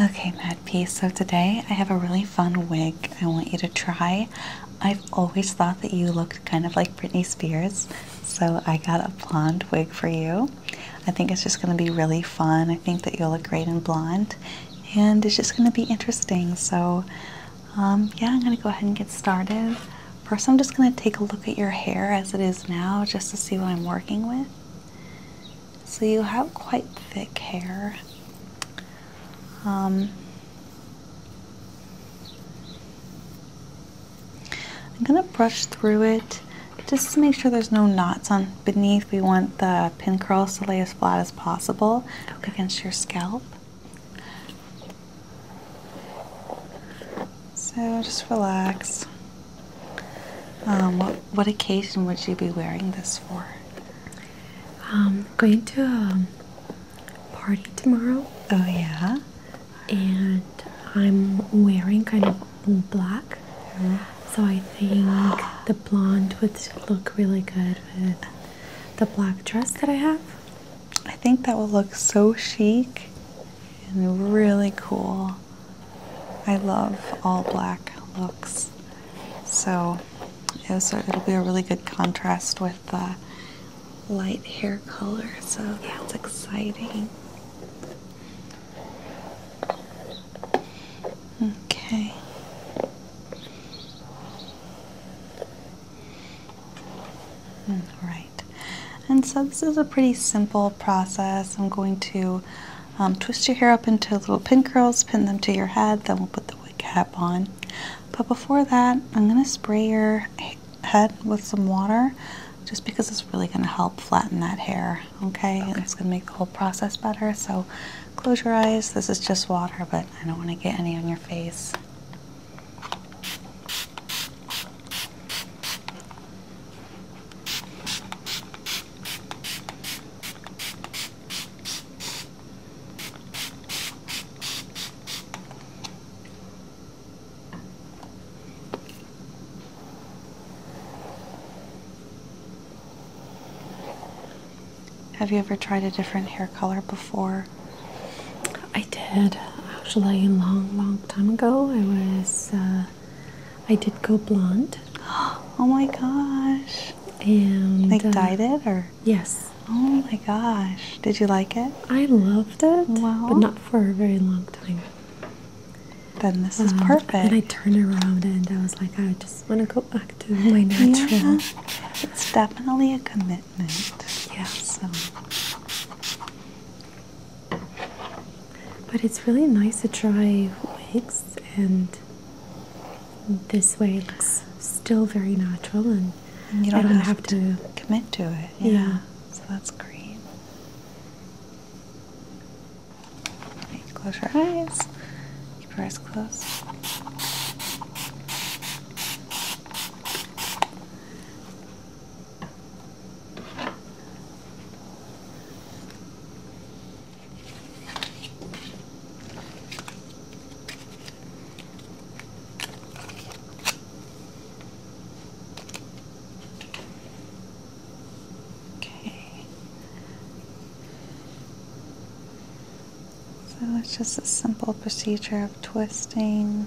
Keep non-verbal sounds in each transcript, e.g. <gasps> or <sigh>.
Okay, Mad Peace. so today I have a really fun wig I want you to try. I've always thought that you looked kind of like Britney Spears, so I got a blonde wig for you. I think it's just going to be really fun. I think that you'll look great in blonde, and it's just going to be interesting. So, um, yeah, I'm going to go ahead and get started. First, I'm just going to take a look at your hair as it is now, just to see what I'm working with. So you have quite thick hair. Um, I'm gonna brush through it just to make sure there's no knots on beneath. We want the pin curls to lay as flat as possible against your scalp. So just relax. Um, what what occasion would you be wearing this for? I'm um, going to a party tomorrow. Oh yeah. And I'm wearing kind of black, so I think the blonde would look really good with the black dress that I have. I think that will look so chic and really cool. I love all black looks, so it will be a really good contrast with the light hair color. So that's exciting. Okay. All hmm, right. And so this is a pretty simple process. I'm going to um, twist your hair up into little pin curls, pin them to your head, then we'll put the wig cap on. But before that, I'm going to spray your head with some water just because it's really going to help flatten that hair, okay. It's going to make the whole process better. So close your eyes. This is just water, but I don't want to get any on your face. Have you ever tried a different hair color before? I did actually a long, long time ago. I was uh, I did go blonde. <gasps> Oh my gosh. And like uh, dyed it or? Yes. Oh my gosh. Did you like it? I loved it. Wow. But not for a very long time. Then this um, is perfect. And I turned around and I was like, I just want to go back to my natural. It's definitely a commitment. Yeah. So. But it's really nice to try wigs, and this way looks still very natural, and you don't, have, to, commit to it. Yeah. So that's great. close your eyes. Keep your eyes closed. Okay. So it's just a simple procedure of twisting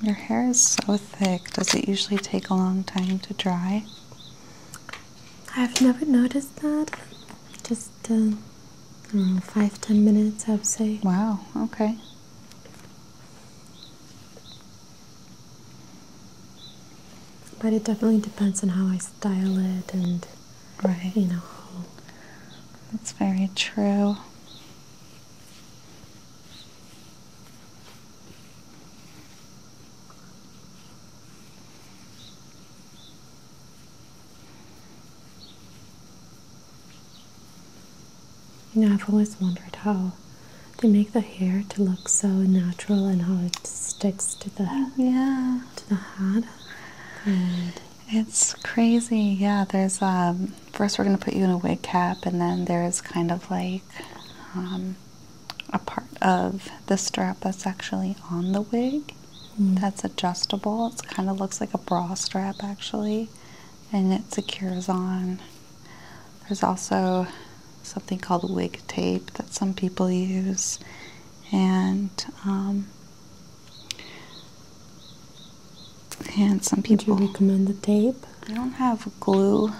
Your hair is so thick. Does it usually take a long time to dry? I've never noticed that. Just uh, five ten minutes, I would say. Wow. Okay. But it definitely depends on how I style it and right. you know. That's very true. You know, I've always wondered how they make the hair to look so natural and how it sticks to the oh, yeah to the head. And it's crazy. Yeah, there's um, first we're gonna put you in a wig cap and then there's kind of like um, a part of the strap that's actually on the wig. Mm. That's adjustable. It kind of looks like a bra strap actually, and it secures on. There's also something called wig tape that some people use, and um, and some people. Would you recommend the tape? I don't have glue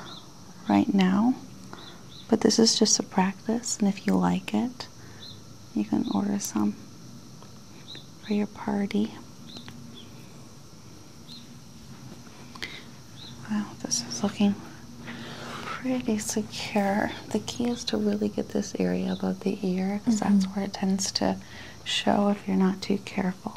right now. But this is just a practice, and if you like it, you can order some for your party. Wow, this is looking pretty secure. The key is to really get this area above the ear because that's mm-hmm. where it tends to show if you're not too careful.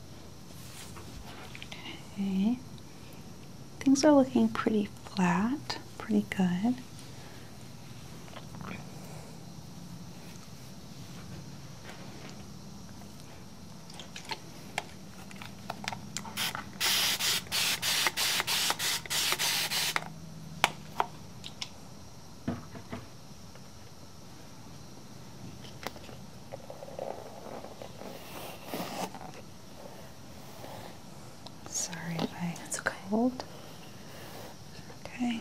Okay. Things are looking pretty flat, pretty good. Sorry if I That's cold. Okay.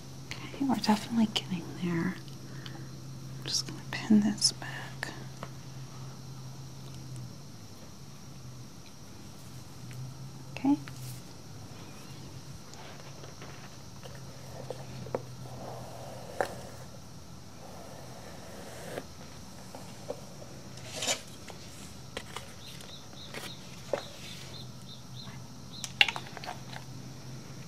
Okay, we're definitely getting there. I'm just going to pin this back. Okay.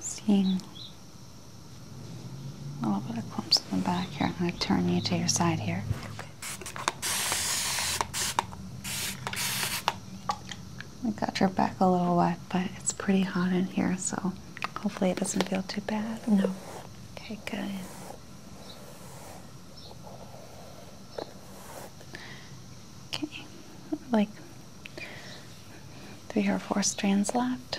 Seeing a little bit of clumps in the back here. I'm going to turn you to your side here. I got your back a little wet, but it's pretty hot in here, so Hopefully, it doesn't feel too bad. No. Okay, good. Okay, like three or four strands left.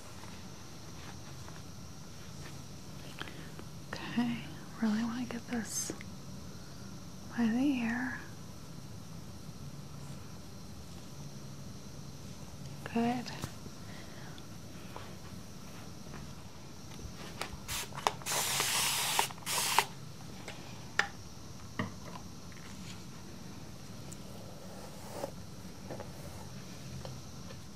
Okay, really want to get this by the ear. Good.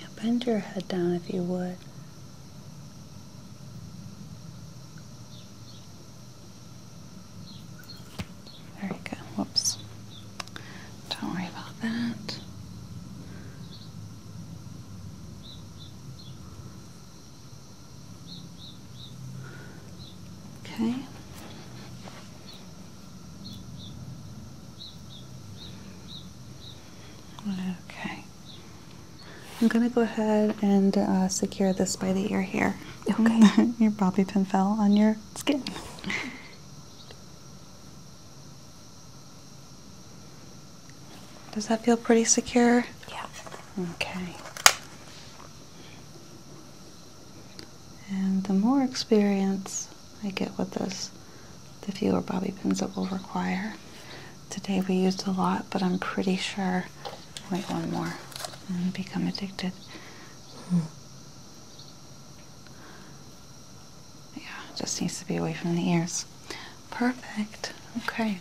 Yeah, bend your head down if you would. There you go. Whoops. Don't worry about that. Okay. Okay. I'm going to go ahead and uh, secure this by the ear here. <laughs> your bobby pin fell on your skin. <laughs> Does that feel pretty secure? Yeah. Okay. And the more experience I get with this, the fewer bobby pins it will require. Today we used a lot, but I'm pretty sure. Wait, one more and become addicted. Hmm. Yeah, just needs to be away from the ears. Perfect. Okay.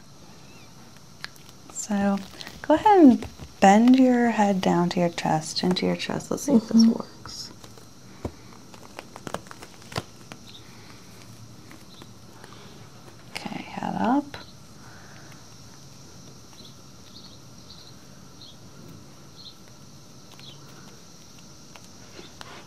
So go ahead and bend your head down to your chest, into your chest. Let's see if this mm-hmm. works. Okay, head up.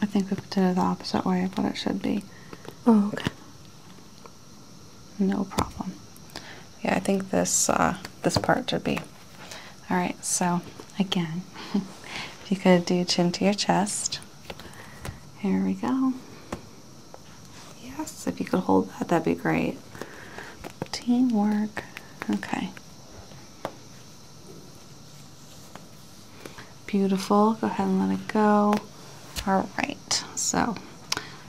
I think we've it the opposite way but it should be. Oh, okay. No problem. Yeah, I think this uh, this part should be. All right. So again, <laughs> if you could do chin to your chest. Here we go. Yes, if you could hold that, that'd be great. Teamwork. Okay. Beautiful. Go ahead and let it go. All right. So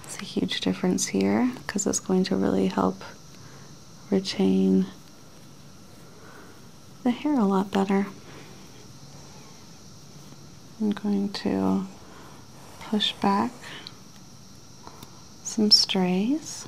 it's a huge difference here because it's going to really help retain the hair a lot better. I'm going to push back some strays.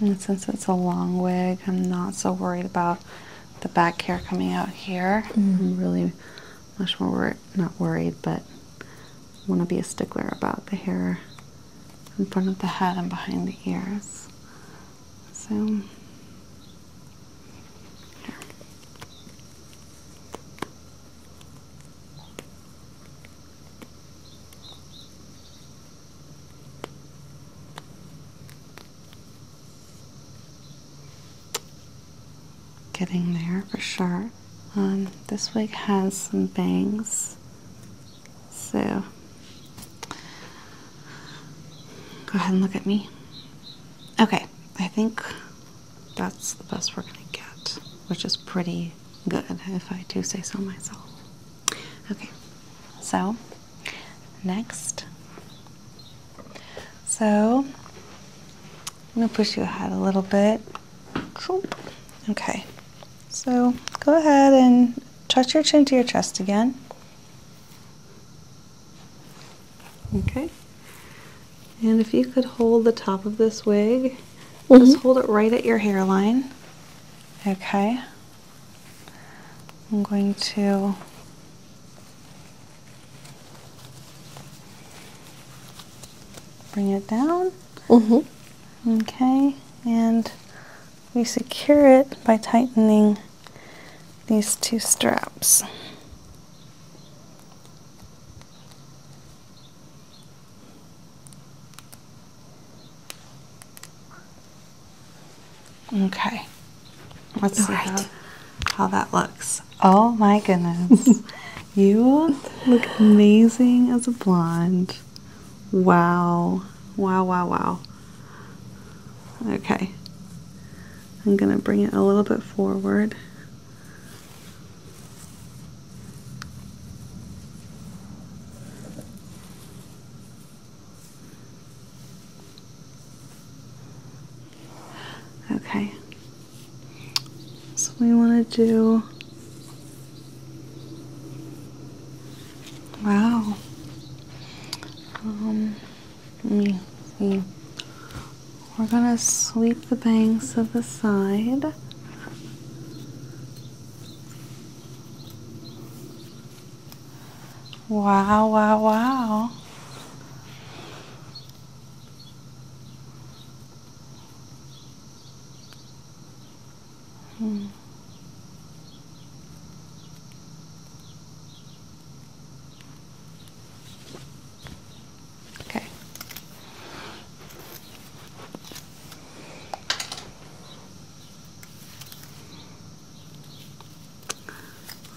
And since it's a long wig, I'm not so worried about the back hair coming out here. Mm-hmm. I'm really much more not worried, but I want to be a stickler about the hair in front of the head and behind the ears. So, here. Getting there for sure. Um, this wig has some bangs, so go ahead and look at me. Okay, I think that's the best we're gonna get, which is pretty good if I do say so myself. Okay, so next. So I'm going to push you ahead a little bit. Okay, so go ahead and touch your chin to your chest again. Okay, and if you could hold the top of this wig, just mm-hmm. hold it right at your hairline. Okay, I'm going to bring it down. Mm -hmm. Okay, and we secure it by tightening these two straps. Okay. Let's see how that looks. Oh my goodness. <laughs> you look amazing as a blonde. Wow. Wow, wow, wow. Okay. I'm going to bring it a little bit forward. Okay. So we want to do. Wow. Um, let We're going to sweep the bangs to the side. Wow, wow, wow. Hmm. Okay.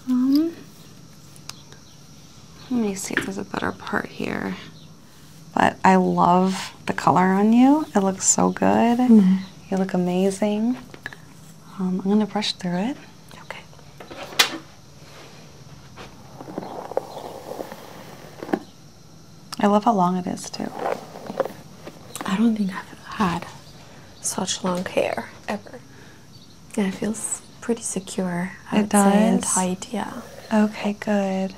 Um, let me see if there's a better part here. But I love the color on you. It looks so good. Mm-hmm. You look amazing. Um, I'm going to brush through it. Okay. I love how long it is, too. I don't think I've had such long hair ever. Yeah, it feels pretty secure. I it would does. Say, and tight, yeah. Okay, good.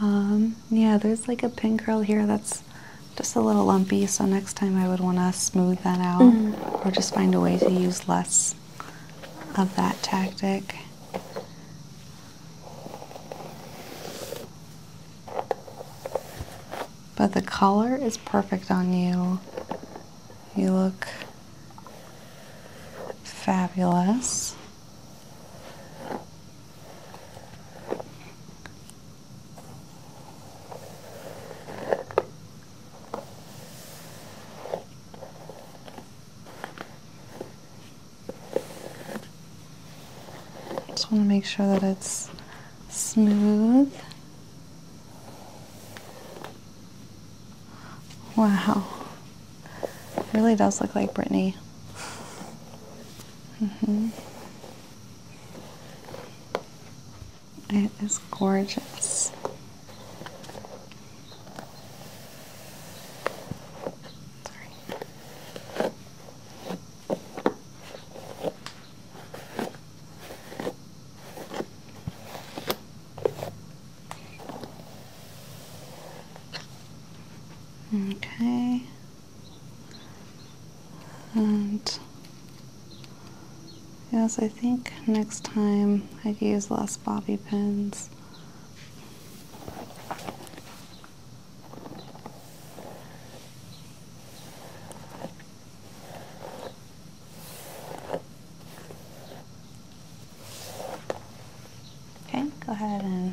Um, yeah, there's like a pin curl here that's just a little lumpy, so next time I would want to smooth that out mm-hmm. or just find a way to use less of that tactic. But the color is perfect on you. You look fabulous just want to make sure that it's smooth. Wow. really does look like Brittany. Mm -hmm. It is gorgeous. Okay. And yes, I think next time I'd use less bobby pins Okay, go ahead and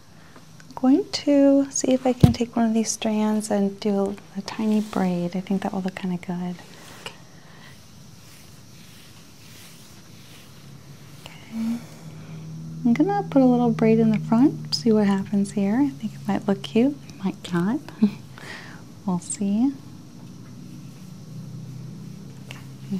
I'm going to see if I can take one of these strands and do a, tiny braid. I think that will look kind of good. Okay. okay. I'm gonna put a little braid in the front, see what happens here. I think it might look cute, might not. <laughs> we'll see. Okay.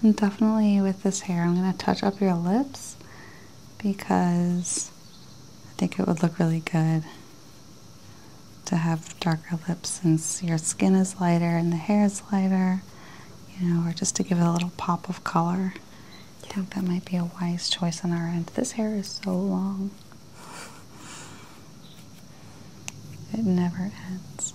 And definitely with this hair, I'm going to touch up your lips because I think it would look really good to have darker lips since your skin is lighter and the hair is lighter, you know, or just to give it a little pop of color. I think that might be a wise choice on our end. This hair is so long. It never ends.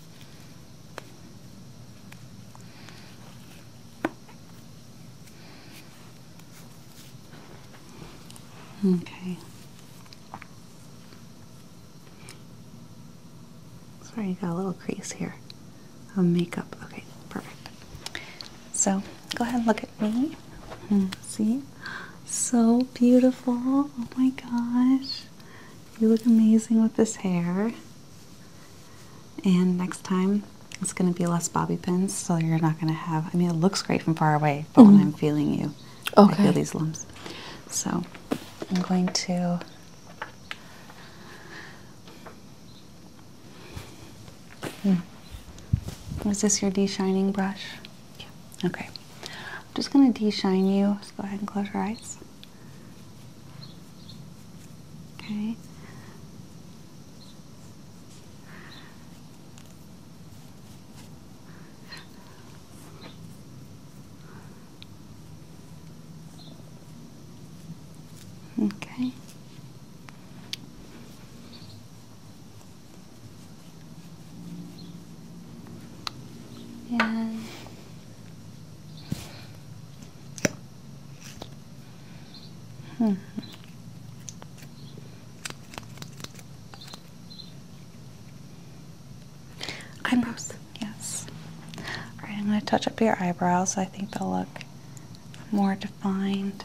Okay. Sorry, you got a little crease here of um, makeup. Okay, perfect. So go ahead and look at me. Hmm, see? So beautiful. Oh my gosh. You look amazing with this hair. And next time it's going to be less bobby pins, so you're not going to have. I mean, it looks great from far away, but when mm-hmm. I'm feeling you, okay. I feel these lumps. So I'm going to. Hmm. Is this your de-shining brush? Yeah. Okay. I'm just going to de-shine you. Just go ahead and close your eyes. Okay. Okay. And Hmm. Eyebrows, yes. Alright, I'm going to touch up your eyebrows. So I think they'll look more defined.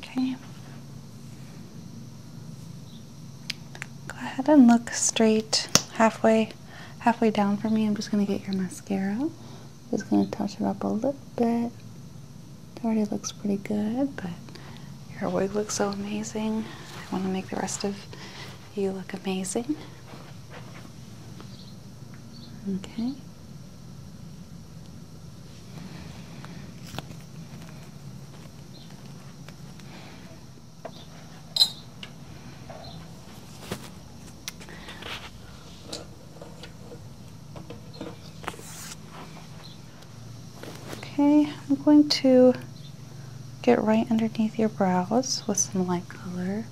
Okay. Go ahead and look straight halfway halfway down for me. I'm just going to get your mascara. Just going to touch it up a little bit. It already looks pretty good, but your wig looks so amazing. I want to make the rest of you look amazing. Okay. Okay, I'm going to get right underneath your brows with some light color.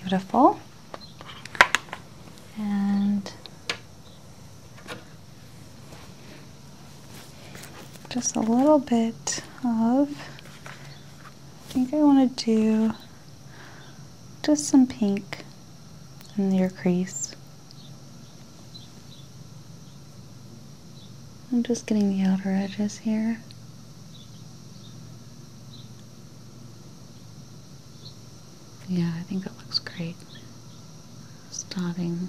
Beautiful. And just a little bit of, I think I want to do just some pink in your crease. I'm just getting the outer edges here. Yeah, I think that looks great. Starting.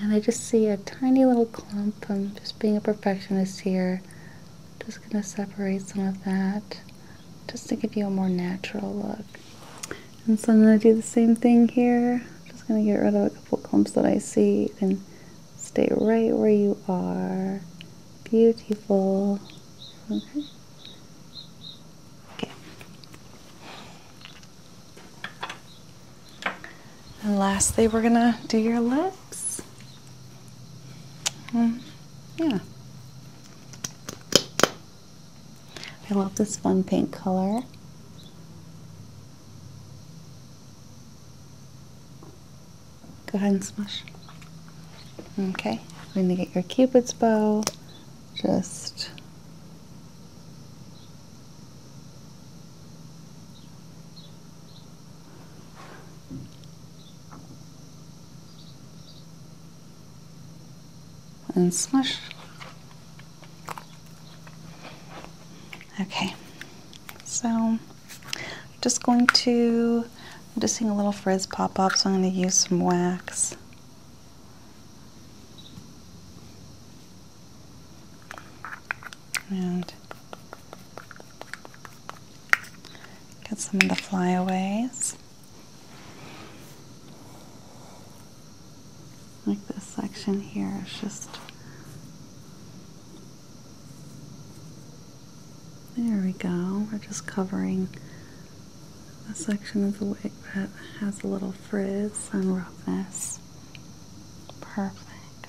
And I just see a tiny little clump. I'm just being a perfectionist here. Just going to separate some of that just to give you a more natural look. And so I'm going to do the same thing here. Just going to get rid of a couple clumps that I see and stay right where you are. Beautiful. Okay. Okay. And lastly, we're gonna do your lips. Mm, yeah. I love this fun pink color. Go ahead and smush. Okay, we're gonna get your cupid's bow. Just and smush. Okay, so I'm just going to, I'm just seeing a little frizz pop up, so I'm going to use some wax and get some of the flyaways. Like this section here is just there we go. We're just covering a section of the wig that has a little frizz and roughness. Perfect.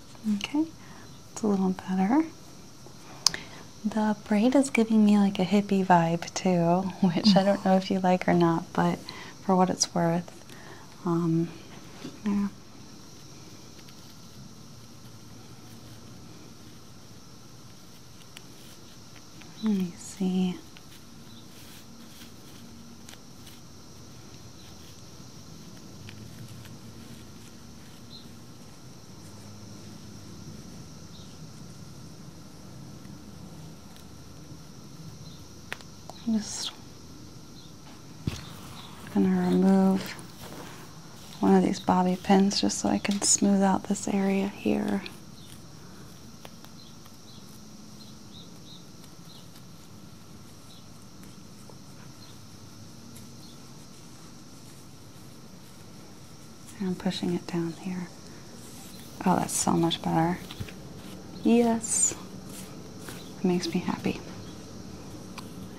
Okay, it's a little better. The braid is giving me like a hippie vibe too, <laughs> which I don't know if you like or not, but for what it's worth, um, yeah. Let me see. I'm just going to remove one of these bobby pins just so I can smooth out this area here. I'm pushing it down here. Oh, that's so much better. Yes. It makes me happy.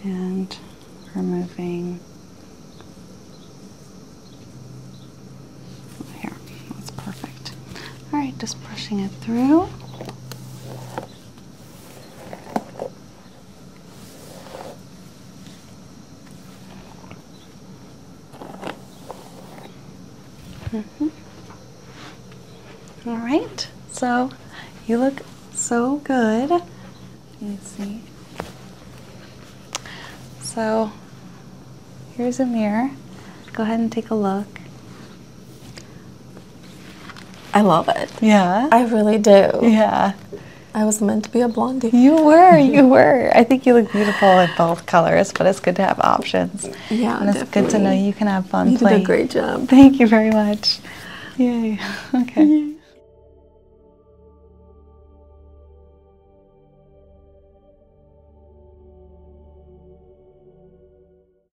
And removing here. That's perfect. All right, just brushing it through. -hmm. All right, so you look so good. Let me see. So here's a mirror. Go ahead and take a look. I love it. Yeah. I really do. Yeah. I was meant to be a blondie. You were, you <laughs> were. I think you look beautiful in both colors, but it's good to have options. Yeah, and it's good to know you can have fun. You did a great job. Thank you very much. Yay. <laughs> Okay.